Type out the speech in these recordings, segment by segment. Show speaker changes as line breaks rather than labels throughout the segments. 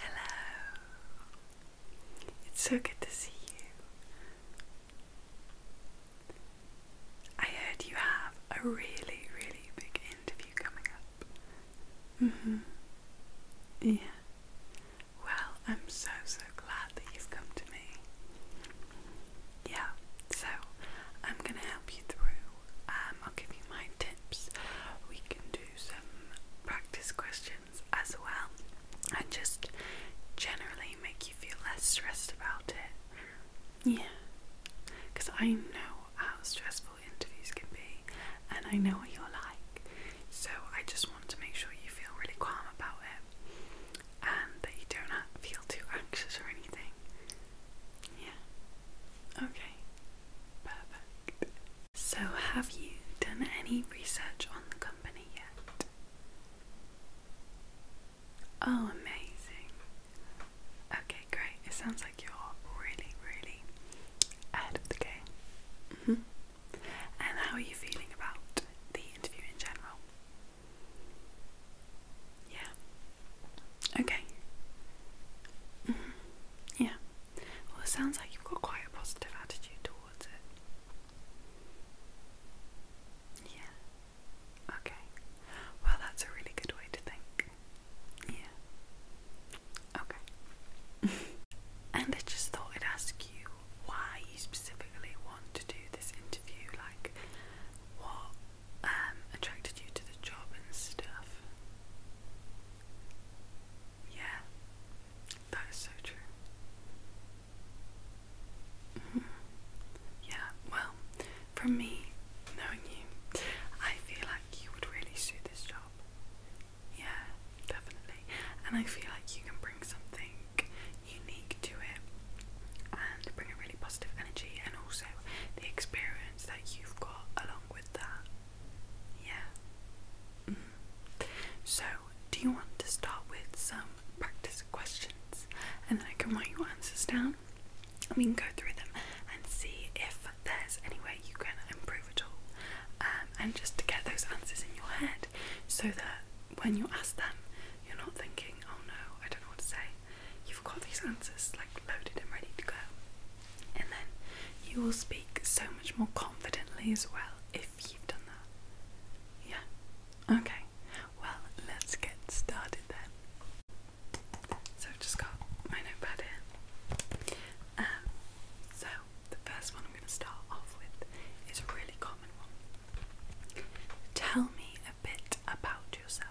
Hello. It's so good to see you. I heard you have a really, really big interview coming up. Mhm. yeah. Well, I'm so so glad that you've come to me. Yeah. So, I'm going to help you through. Um, I'll give you my tips. We can do do some practice questions as well and just generally make you feel less stressed about it. Yeah. Because I know how stressful interviews can be and I know what you're like. So I just want to make sure you feel really calm about it and that you don't feel too anxious or anything. Yeah. Okay, perfect. So, have you done any research on the company yet? Oh, amazing. Okay, great. It sounds like you're really, really ahead of the game. Mm -hmm. And how are you feeling about the interview in general? Yeah. Okay. Mm-hmm. Yeah. Well, it sounds like you've got quite a positive attitude towards it. Yeah. Okay. Well, that's a really good way to think. Yeah. Okay. and I just thought I'd ask you why you specifically want to do this interview. Like, what um, attracted you to the job and stuff? Yeah, that is so true. Mm-hmm. Yeah, well, from me knowing you, I feel like you would really suit this job. Yeah, definitely. And I feel like you can bring something unique to it and bring a really positive energy and also the experience that you've got along with that yeah. Mm-hmm. So, do you want to start with some practice questions and then I can write your answers down and we can go through them and see if there's any way you can improve at all um, and just to get those answers in your head so that when you ask them, you're not thinking, oh no, I don't know what to say you've got these answers like loaded and ready to go. And then you will speak so much more confidently as well if you've done that. Yeah. Okay. Well, let's get started then. So I've just got my notepad here. Um, so the first one I'm going to start off with is a really common one. Tell me a bit about yourself.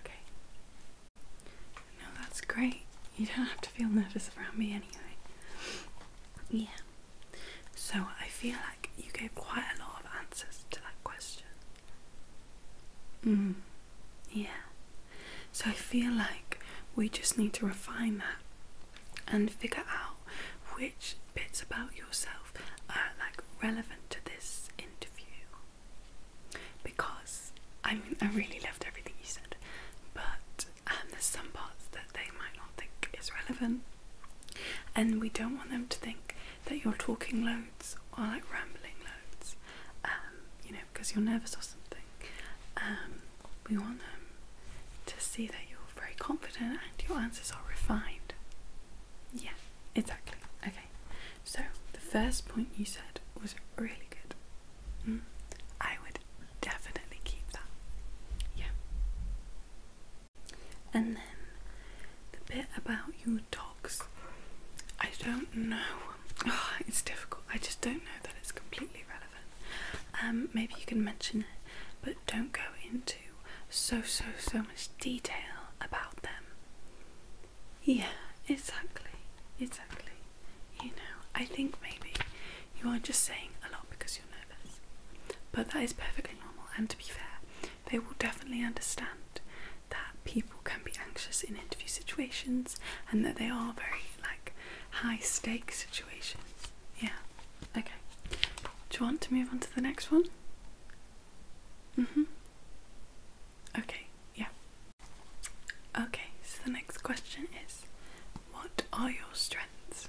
Okay. No, that's great. You don't have to feel nervous around me anyway. Yeah. So I feel like you gave quite a lot of answers to that question. Mm. Yeah. So I feel like we just need to refine that and figure out which bits about yourself are like relevant to this interview. Because I mean, I really loved everything you said, but um, there's some parts that they might not think is relevant, and we don't want them to think that you're talking loads or like rambling loads. Um, you know, because you're nervous or something. Um, we want them to see that you're very confident and your answers are refined. Yeah, exactly. Okay, so the first point you said was really good. Hmm? I would definitely keep that. Yeah. And then the bit about your dogs. I don't know it's difficult. I just don't know that it's completely relevant. Um, maybe you can mention it, but don't go into so so so much detail about them. Yeah, exactly, exactly. You know, I think maybe you are just saying a lot because you're nervous, but that is perfectly normal. And to be fair, they will definitely understand that people can be anxious in interview situations and that they are very like high stake situations, Yeah. Okay. Do you want to move on to the next one? Mm-hmm. Okay, yeah. Okay, so the next question is what are your strengths?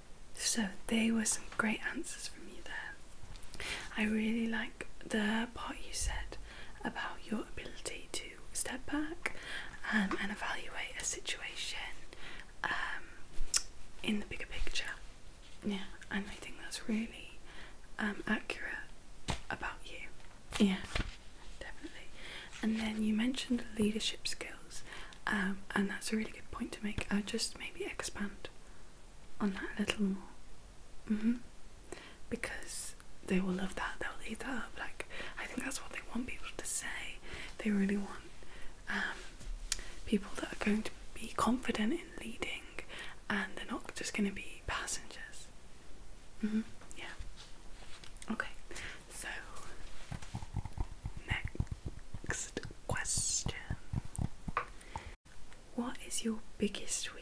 So they were some great answers from you there. I really like the part you said about your ability to step back um, and evaluate a situation um, in the bigger picture. Yeah, and I think that's really um, accurate about you. Yeah, definitely. And then you mentioned leadership skills, um, and that's a really good point to make. I just maybe expand on that a little more, mm-hmm. because they will love that. They'll eat that up. Like I think that's what they want people to say. They really want um, people that are going to be confident in leading, and they're not just going to be passengers. Mm-hmm. Yeah. Okay. So, next question What is your biggest weakness?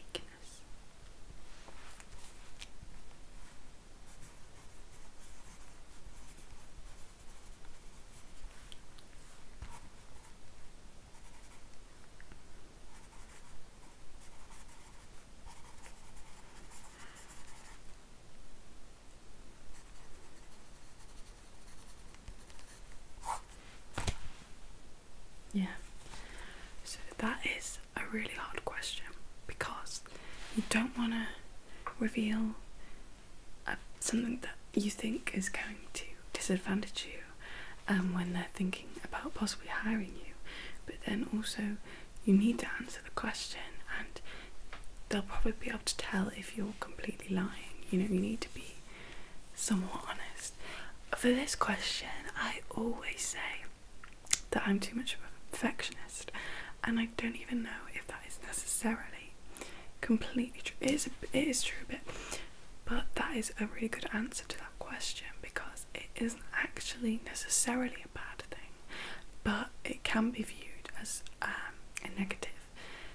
Yeah, so that is a really hard question because you don't want to reveal uh, something that you think is going to disadvantage you um, when they're thinking about possibly hiring you, but then also you need to answer the question and they'll probably be able to tell if you're completely lying. You know, you need to be somewhat honest. For this question, I always say that I'm too much of a perfectionist, and I don't even know if that is necessarily completely true. It is, true, but but that is a really good answer to that question because it isn't actually necessarily a bad thing but it can be viewed as um, a negative,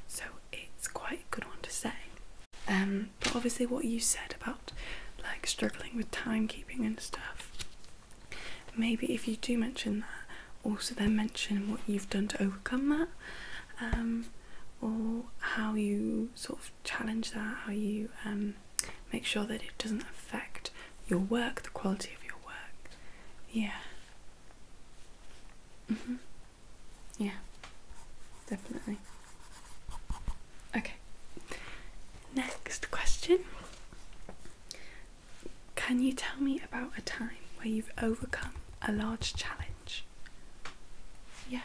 so it's quite a good one to say. Um, but obviously, what you said about like struggling with timekeeping and stuff, maybe if you do mention that, also then mention what you've done to overcome that, um, or how you sort of challenge that, how you make sure that it doesn't affect your work, the quality of your work. Yeah. Mhm. Mm yeah. Definitely. Okay. Next question. Can you tell me about a time where you've overcome a large challenge? Yeah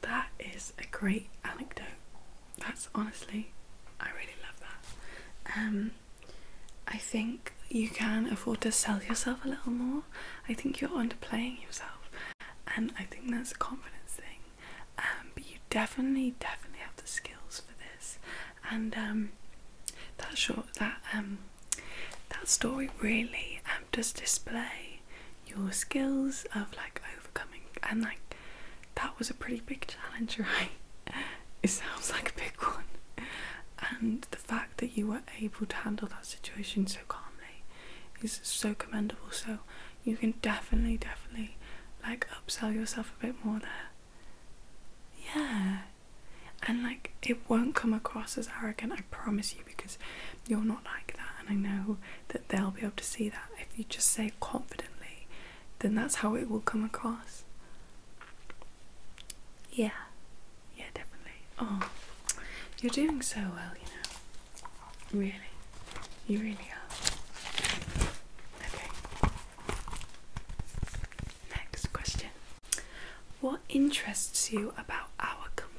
that is a great anecdote that's honestly, I really love that. Um, I think you can afford to sell yourself a little more. I think you're underplaying yourself, and I think that's a confidence thing. Um, but you definitely, definitely have the skills for this, and um, that short, that um, that story really um, does display your skills of like overcoming and like that was a pretty big challenge right it sounds like a big one and the fact that you were able to handle that situation so calmly is so commendable so you can definitely definitely like upsell yourself a bit more there yeah and like it won't come across as arrogant i promise you because you're not like that and i know that they'll be able to see that if you just say confidently then that's how it will come across. Yeah, yeah, definitely. Oh, you're doing so well, you know. Really, you really are. Okay. Next question. What interests you about our company?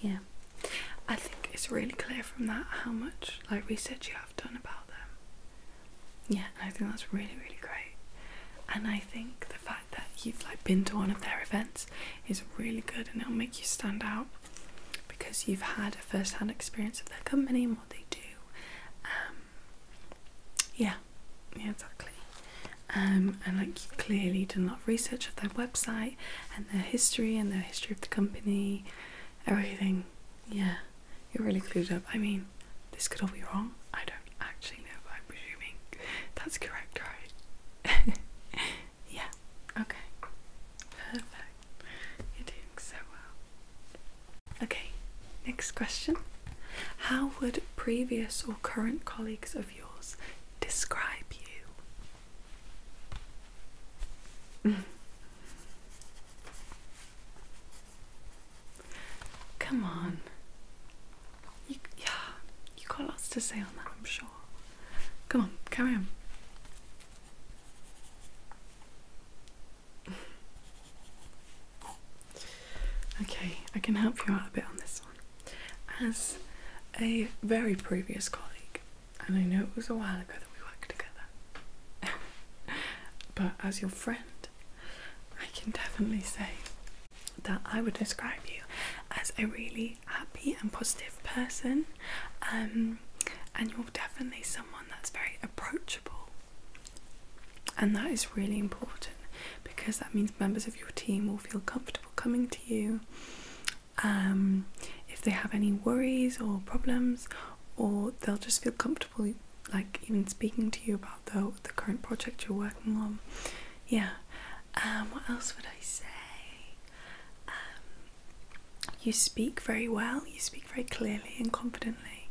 Yeah, I think it's really clear from that how much like research you have done about them. Yeah, I think that's really, really great. And I think the fact that you've like been to one of their events is really good and it'll make you stand out because you've had a first-hand experience of their company and what they do. Um, yeah, yeah, exactly. Um, and like you clearly did a lot of research of their website and their history and the history of the company, everything. Yeah, you're really clued up. I mean, this could all be wrong. I don't actually know, I'm presuming that's correct, right? yeah, okay. Perfect. You're doing so well. Okay, next question. How would previous or current colleagues of yours describe you? Come on. You, yeah, you got lots to say on that, I'm sure. Come on, carry on. Okay, I can help you out a bit on this one. As a very previous colleague, and I know it was a while ago that we worked together, but as your friend, I can definitely say that I would describe you as a really happy and positive person, um, and you're definitely someone that's very approachable, and that is really important because that means members of your team will feel comfortable coming to you. Um, if they have any worries or problems, or they'll just feel comfortable, like even speaking to you about the the current project you're working on yeah. Um, what else would I say? Um, you speak very well, you speak very clearly and confidently,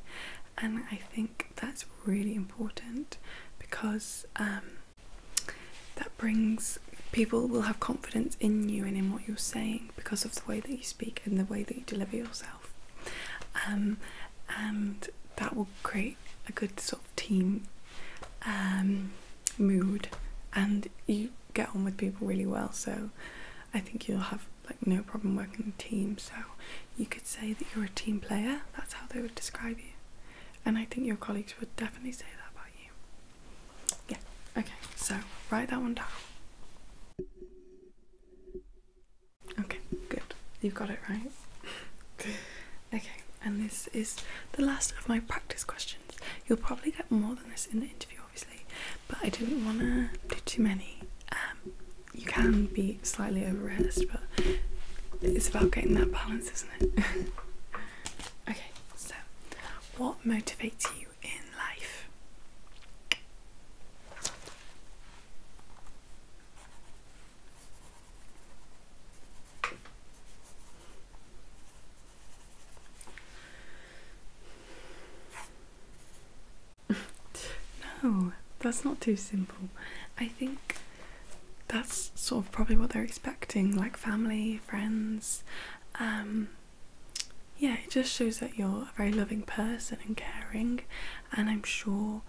and I think that's really important because um, that brings people will have confidence in you and in what you're saying because of the way that you speak and the way that you deliver yourself. and that will create a good sort of team um, mood and you get on with people really well so I think you'll have like no problem working in a team so you could say that you're a team player that's how they would describe you and I think your colleagues would definitely say that about you yeah okay so write that one down okay good you've got it right Okay, and this is the last of my practice questions. You'll probably get more than this in the interview, obviously, but I didn't want to do too many. Um, you can be slightly overrehearsed, but it's about getting that balance, isn't it? okay, so what motivates you in life? no, that's not too simple. I think that's sort of probably what they're expecting, like family, friends. Um, yeah, it just shows that you're a very loving person and caring, and I'm sure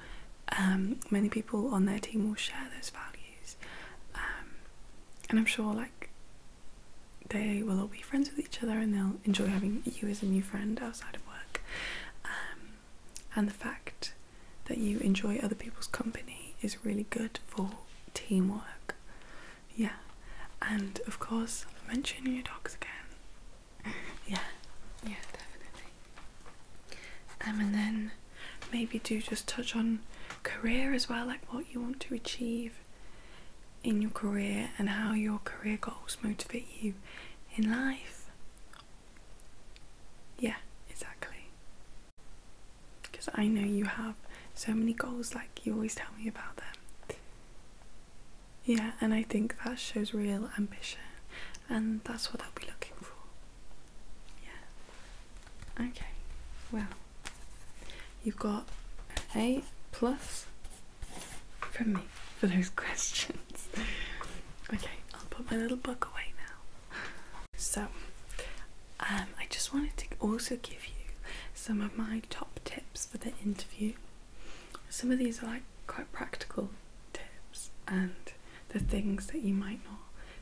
um, many people on their team will share those values, um, and I'm sure like they will all be friends with each other and they'll enjoy having you as a new friend outside of work. Um, and the fact that you enjoy other people's company is really good for teamwork. Yeah, and of course, mentioning your dogs again. yeah, yeah, definitely. Um, and then maybe do just touch on career as well, like what you want to achieve in your career and how your career goals motivate you in life. Yeah, exactly. Because I know you have so many goals, like you always tell me about them. Yeah, and I think that shows real ambition, and that's what I'll be looking for. Yeah. Okay. Well, you've got an A plus from me for those questions. okay, I'll put my little book away now. So, um, I just wanted to also give you some of my top tips for the interview. Some of these are like quite practical tips and the things that you might not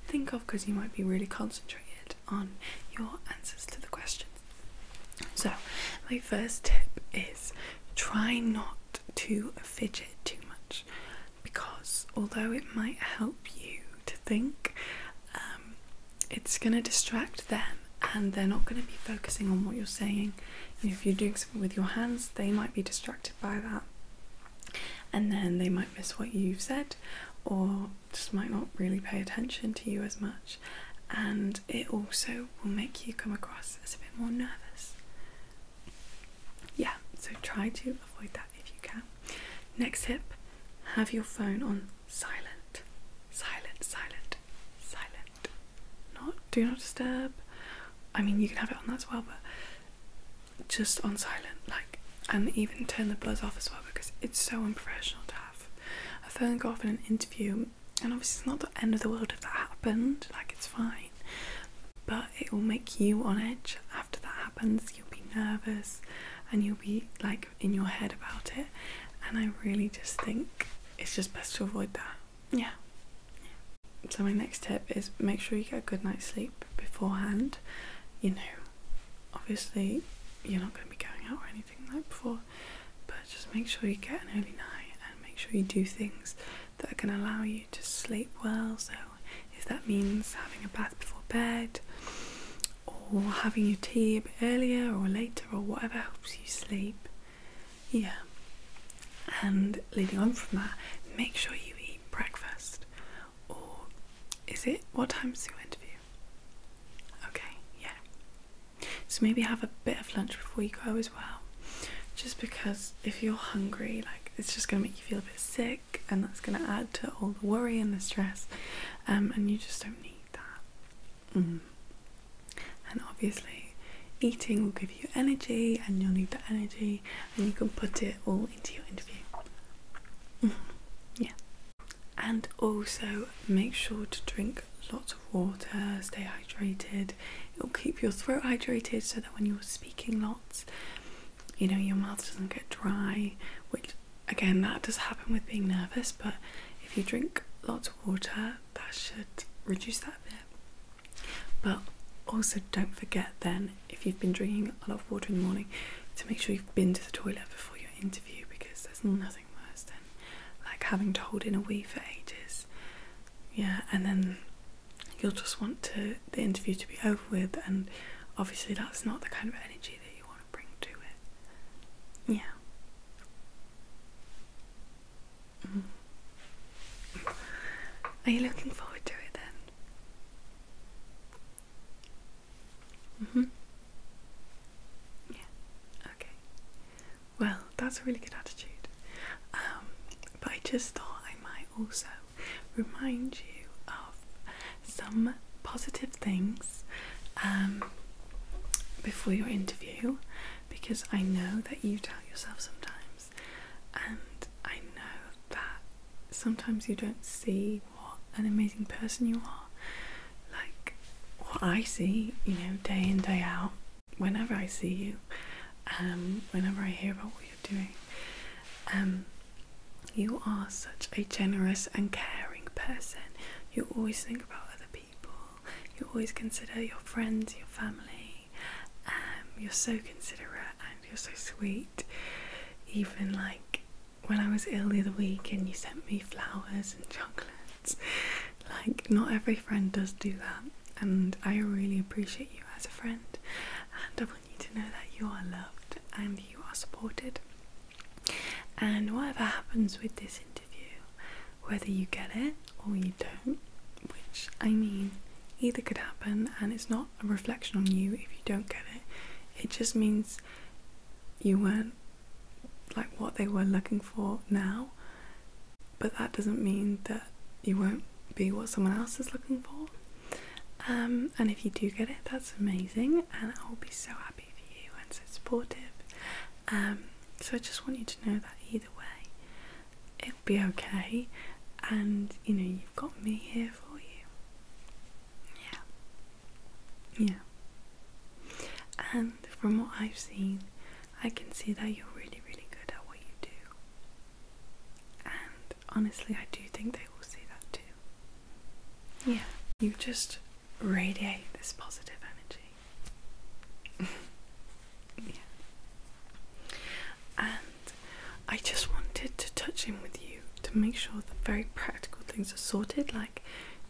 think of because you might be really concentrated on your answers to the questions. So, my first tip is try not to fidget too much because although it might help you to think, um, it's going to distract them and they're not going to be focusing on what you're saying. You if you're doing something with your hands, they might be distracted by that and then they might miss what you've said or just might not really pay attention to you as much and it also will make you come across as a bit more nervous yeah so try to avoid that if you can next tip have your phone on silent silent silent silent not do not disturb i mean you can have it on that as well but just on silent, like, and even turn the buzz off as well because it's so unprofessional to have a phone go off in an interview. And obviously, it's not the end of the world if that happened, like, it's fine, but it will make you on edge after that happens. You'll be nervous and you'll be like in your head about it. And I really just think it's just best to avoid that yeah. So my next tip is make sure you get a good night's sleep beforehand. You know, obviously you're not going to be going out or anything like before, but just make sure you get an early night and make sure you do things that are going to allow you to sleep well. So if that means having a bath before bed or having your tea a bit earlier or later or whatever helps you sleep, yeah. And leading on from that, make sure you eat breakfast. Or is it what time's your interview? Okay, yeah. So maybe have a bit of lunch before you go as well. Just because if you're hungry, like it's just gonna make you feel a bit sick and that's gonna add to all the worry and the stress. Um, and you just don't need that. Mm-hmm. And obviously, eating will give you energy, and you'll need that energy and you can put it all into your interview. Mm, yeah. And also make sure to drink lots of water, stay hydrated. It'll keep your throat hydrated so that when you're speaking lots, you know, your mouth doesn't get dry, which again, that does happen with being nervous, but if you drink lots of water, that should reduce that a bit. But also, don't forget then, if you've been drinking a lot of water in the morning, to make sure you've been to the toilet before your interview because there's nothing worse than like having to hold in a wee for ages. Yeah, and then you'll just want to the interview to be over with, and obviously, that's not the kind of energy that you want to bring to it. Yeah. Mm. Are you looking forward to it then? Mm hmm. Yeah, okay. Well, that's a really good attitude. Um, but I just thought I might also remind you of some positive things um, before your interview because I know that you doubt yourself sometimes and I know that sometimes you don't see what an amazing person you are. Like what I see, you know, day in, day out, whenever I see you, um, whenever I hear about what you're doing, um, you are such a generous and caring person. You always think about other people, you always consider your friends, your family, um, you're so considerate and you're so sweet. Even like when I was ill the other week and you sent me flowers and chocolates. Like, not every friend does do that, and I really appreciate you as a friend. And I want you to know that you are loved and you are supported. And whatever happens with this interview, whether you get it or you don't, which I mean, either could happen, and it's not a reflection on you if you don't get it. It just means you weren't like what they were looking for now, but that doesn't mean that you won't be what someone else is looking for. Um, and if you do get it, that's amazing, and I'll be so happy for you and so supportive. Um, so I just want you to know that either way, be okay, and you know, you've got me here for you. Yeah. Yeah. And from what I've seen, I can see that you're really, really good at what you do. And honestly, I do think they will see that too. Yeah. You just radiate this positive energy. yeah. And I just wanted to touch in with you to make sure that very practical things are sorted, like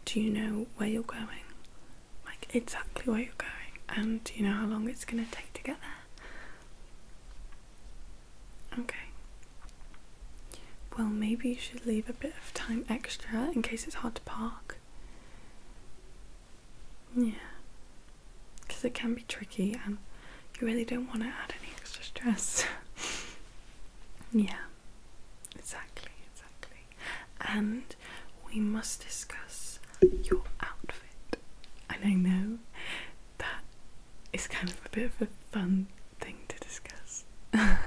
do you know where you're going? Like exactly where you're going and do you know how long it's gonna take to get there? Okay. Well, maybe you should leave a bit of time extra in case it's hard to park. Yeah. Because it can be tricky and you really don't want to add any extra stress. yeah. Exactly, exactly. And we must discuss your outfit. And I know that is kind of a bit of a fun thing to discuss. I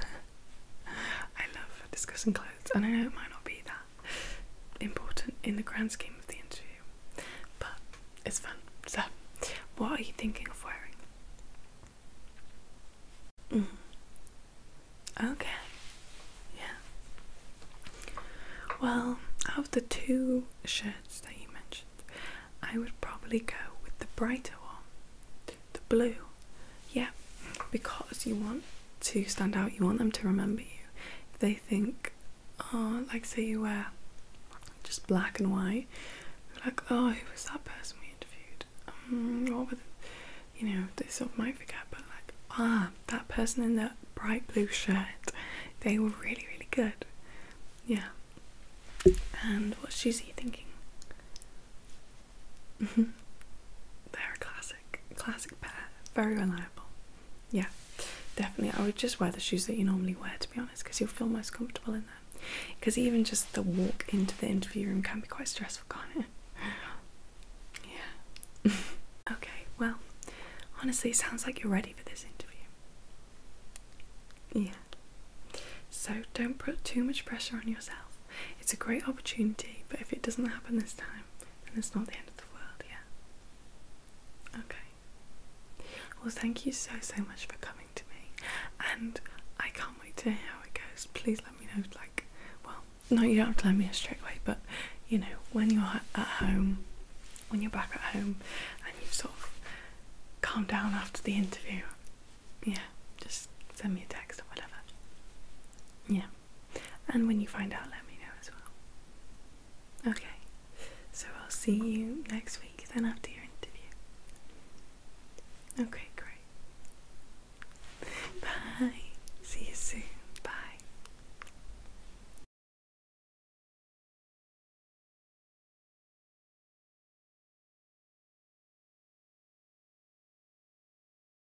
love discussing clothes, and I know it might not be that important in the grand scheme of the interview, but it's fun. So, what are you thinking of wearing? Mm. Okay, yeah. Well, out of the two shirts that you mentioned, I would probably go with the brighter one, the blue. Yeah, because you want to stand out. You want them to remember you. If they think, oh, like say you wear just black and white, like, oh, who was that person we interviewed? Mm, you know, they sort of might forget, but like, ah, that person in that bright blue shirt, they were really, really good. Yeah. And what's Susie thinking? Mm-hmm. They're a classic, classic pair, very reliable. Yeah, definitely. I would just wear the shoes that you normally wear to be honest, because you'll feel most comfortable in them. Because even just the walk into the interview room can be quite stressful, can't it? Yeah. okay, well, honestly, it sounds like you're ready for this interview. Yeah. So don't put too much pressure on yourself. It's a great opportunity, but if it doesn't happen this time, and it's not the end of the world, yeah. Okay. Well, thank you so, so much for coming to me, and I can't wait to hear how it goes. Please let me know, like, well, no, you don't have to let me straight away, but you know, when you're at home, when you're back at home, and you've sort of calmed down after the interview, yeah, just send me a text or whatever. Yeah. And when you find out, let me know as well. Okay, so I'll see you next week then after your interview. Okay, great. Bye. See you soon. Bye.